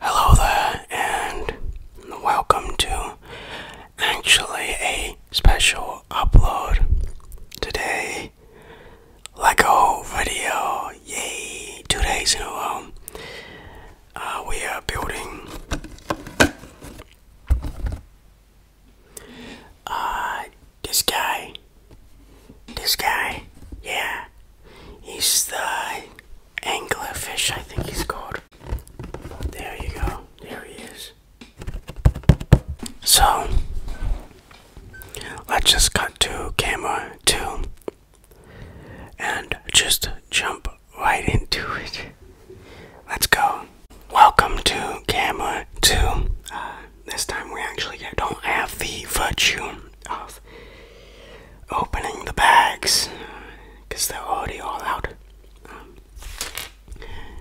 Hello there, and welcome to actually a special upload today. Lego video, yay! Two days in a row. Uh, we are building uh, this guy. This guy, yeah, He's the anglerfish, I think he's called. There you go. There he is. So, let's just cut to camera two and just jump right into it. Let's go. Welcome to camera two. Uh, this time we actually don't have the virtue of opening the bags because they're already all out. Um,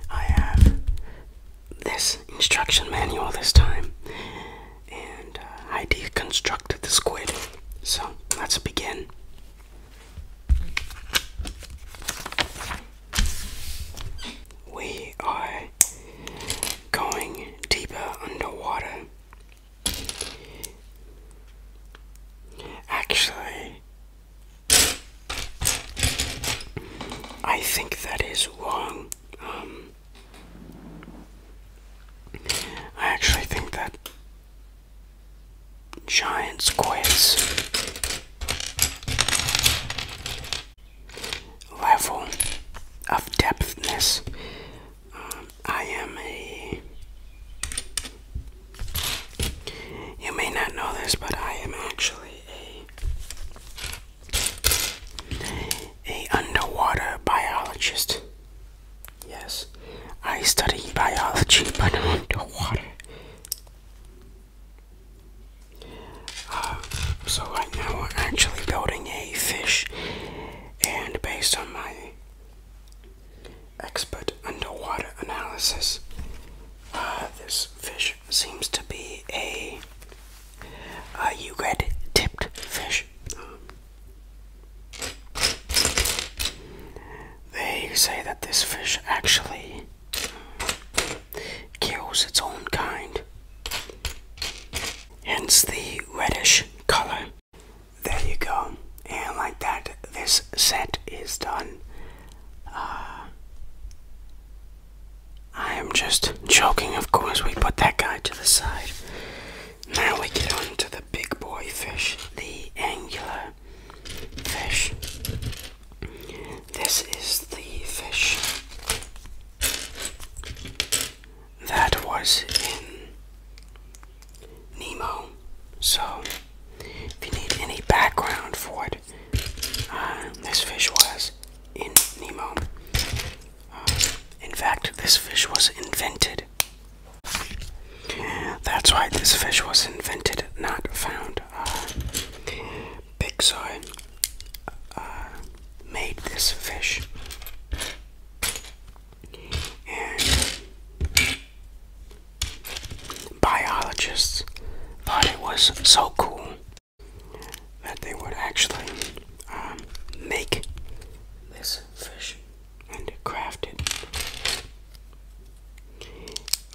I have this instruction manual this time, and uh, I deconstructed the squid. So let's begin. We are going deeper underwater Actually, I think that is wrong. Um, I actually think that Giants Quiz level of depthness I am a. You may not know this, but I am actually a a underwater biologist. Yes, I study biology, but underwater. Uh, so I now we're actually building a fish, and based on my Expert underwater analysis. Uh, this fish seems to be a uh, tipped fish. They say that this fish actually kills its own kind, hence the reddish color. There you go. And like that, this set is done. Uh, I am just joking, of course. We put that guy to the side. Now we get on to the big boy fish, the angular fish. This is the fish that was in Nemo. So, if you need any background for it, uh, this fish was in Nemo. Uh, in fact, this fish was invented. That's why this fish was invented, not found. Uh, Big Soy uh, made this fish biologists thought it was so cool that they would actually um, make this fish and craft it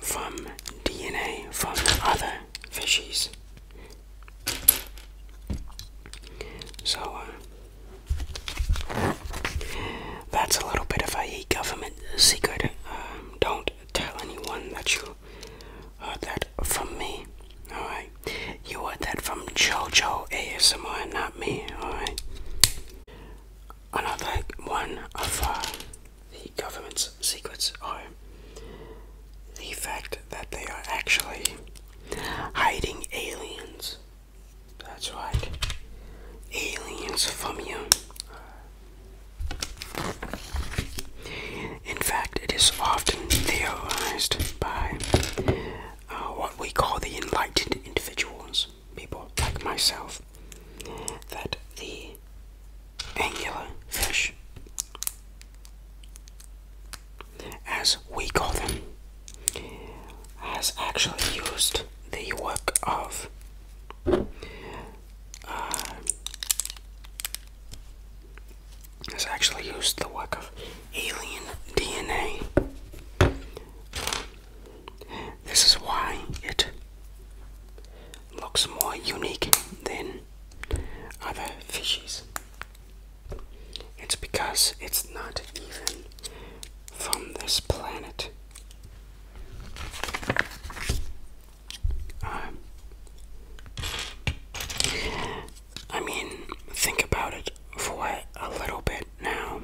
from DNA from other fishes. So, uh, that's a little bit of a government secret. Um, don't tell anyone that you heard that from me. Alright? You heard that from JoJo ASMR, not me. Alright? Another one of uh, the government's secrets are the fact that they are actually hiding aliens that's right. Aliens from you. In fact, it is often theorized by uh, what we call the enlightened individuals, people like myself, that the angular fish as we call them, has actually used the work of uh, has actually used the work of alien DNA. This is why it looks more unique than other fishes. It's because it's not even from this planet. Um, I mean, think about it for a little bit now.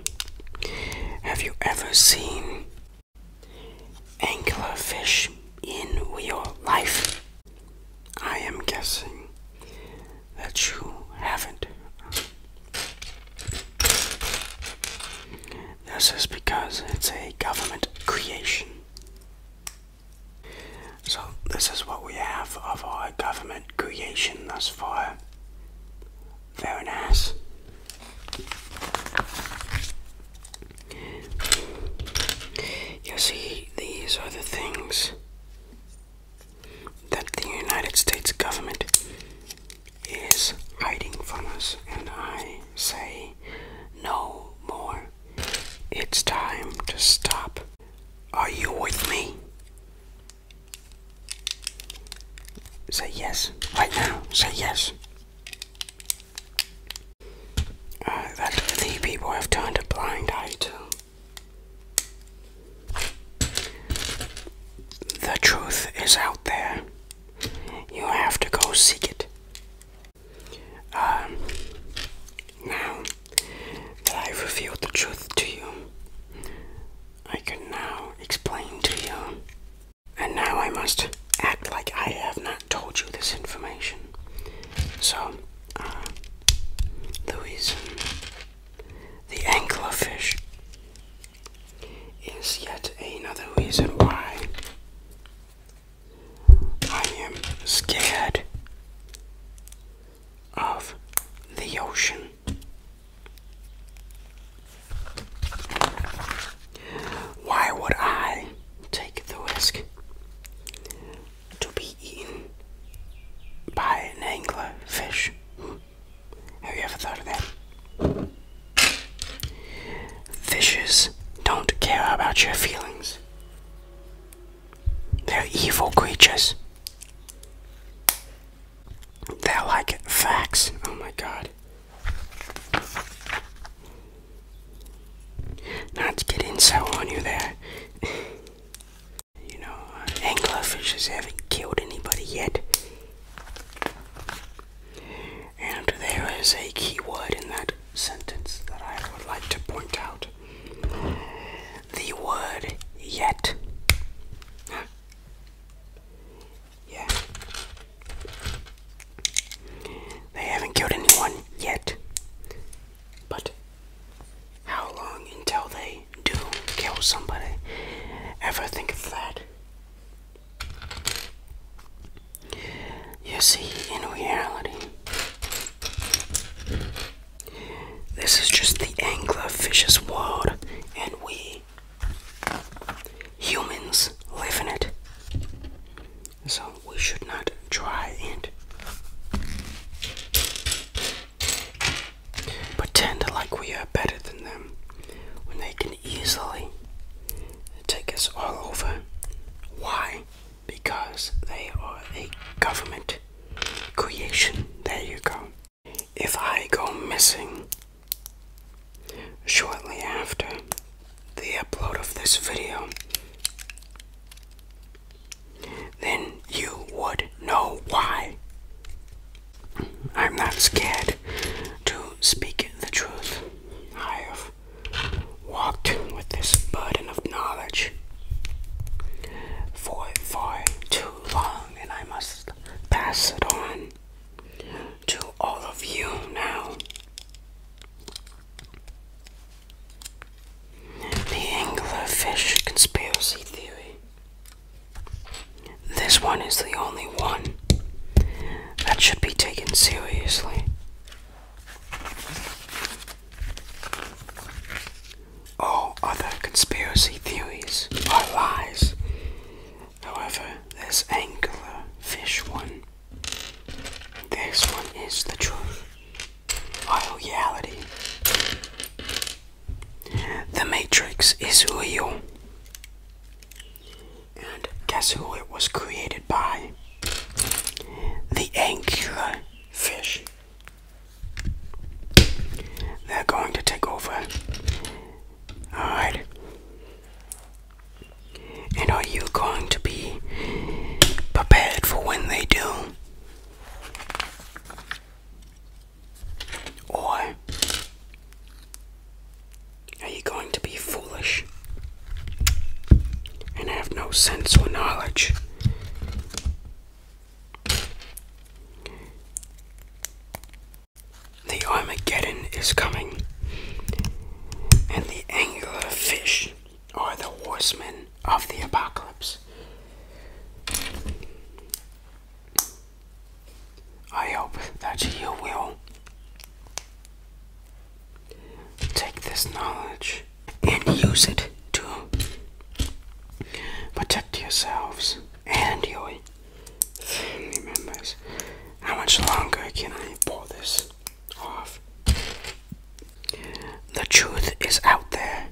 Have you ever seen anglerfish in real life? I am guessing that you haven't. This is because it's a government creation. So, this is what we have of our government creation thus far. Very nice. You see, these are the things that the United States government is hiding from us, and I say no more. It's time to stop. Are you with me? Say yes. Right now, say yes. Uh, that the people have turned a blind eye to. The truth is out there. You have to go seek it. Um, now that I've revealed the truth to you, I can now explain to you. And now I must act like I have not told you this information. So, the uh, reason the anglerfish is yet another reason why I am scared of the ocean. Why would I take the risk to be eaten by an angler fish. Have you ever thought of that? Fishes don't care about your feelings. They're evil creatures. They're like facts. Oh my god. Not getting so on you there. You know, uh, anglerfishes haven't killed anybody yet. And there is a key word in that sentence that I would like to point out. The word yet. Yeah. They haven't killed anyone yet. But how long until they do kill somebody? Ever think of that? You see, in reality, this is just the anglerfish's world, and we humans live in it. So we should not try and Pretend like we are better than them when they can easily take us all over. Why? Because they are a government creation. There you go. If I go missing shortly after the upload of this video, then you would know why. I'm not scared to speak the truth. I have walked with this burden of knowledge for far too long, and I must pass it on to all of you now. The anglerfish conspiracy theory. This one is the only one that should be taken seriously. All other conspiracy theories are lies. However, this anglerfish one, this one is the truth reality. The Matrix is real. And guess who it was created by? The angular fish. They're going to take over. Alright. And are you going to be prepared for when they do? Or are you going to be foolish and have no sense or knowledge? The Armageddon is coming, and the angular fish or the horsemen of the apocalypse. I hope that you will take this knowledge and use it to protect yourselves and your family members. How much longer can I pull this off? The truth is out there.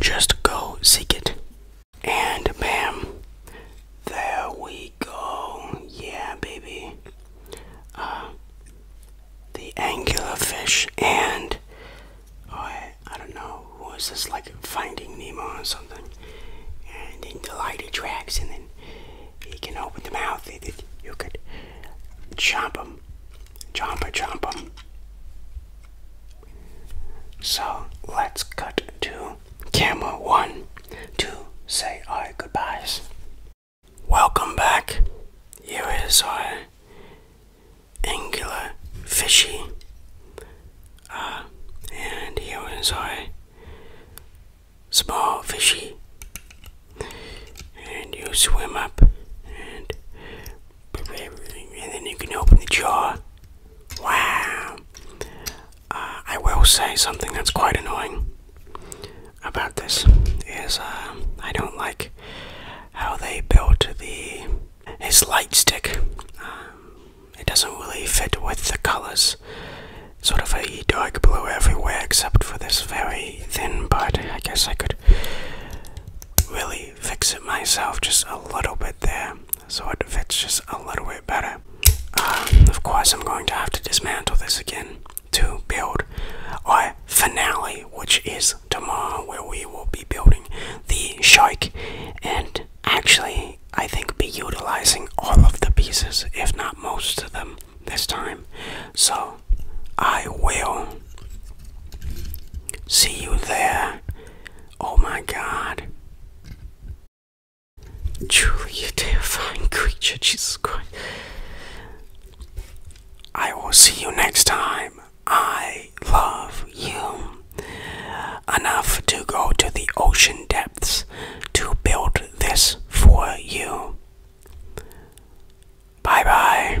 Just go seek it. And bam, there we go. Yeah, baby. Uh, the angular fish and oh, I, I don't know who is this like Finding Nemo or something. And then the light attracts, and then he can open the mouth. and You could chomp him. Chomp chomp chompa. So let's cut to camera one to say our goodbyes. Welcome back. Here is our angular fishy. Uh, and here is our small fishy and you swim up and and then you can open the jaw. Wow. Uh, I will say something that's quite annoying about this is uh, I don't like how they built the his light stick. Um, it doesn't really fit with the colors. Sort of a dark blue everywhere except for this very thin part. I guess I could really fix it myself just a little bit there so it fits just a little bit better. Um, of course, I'm going to have to dismantle this again to build our finale, which is tomorrow, where we will be building the shark and actually, I think, be utilizing all of the pieces, if not most of them, this time. So, I will see you there. Oh my god. Truly a terrifying creature, Jesus Christ. I will see you next time. I love you enough to go to the ocean depths to build this for you. Bye bye.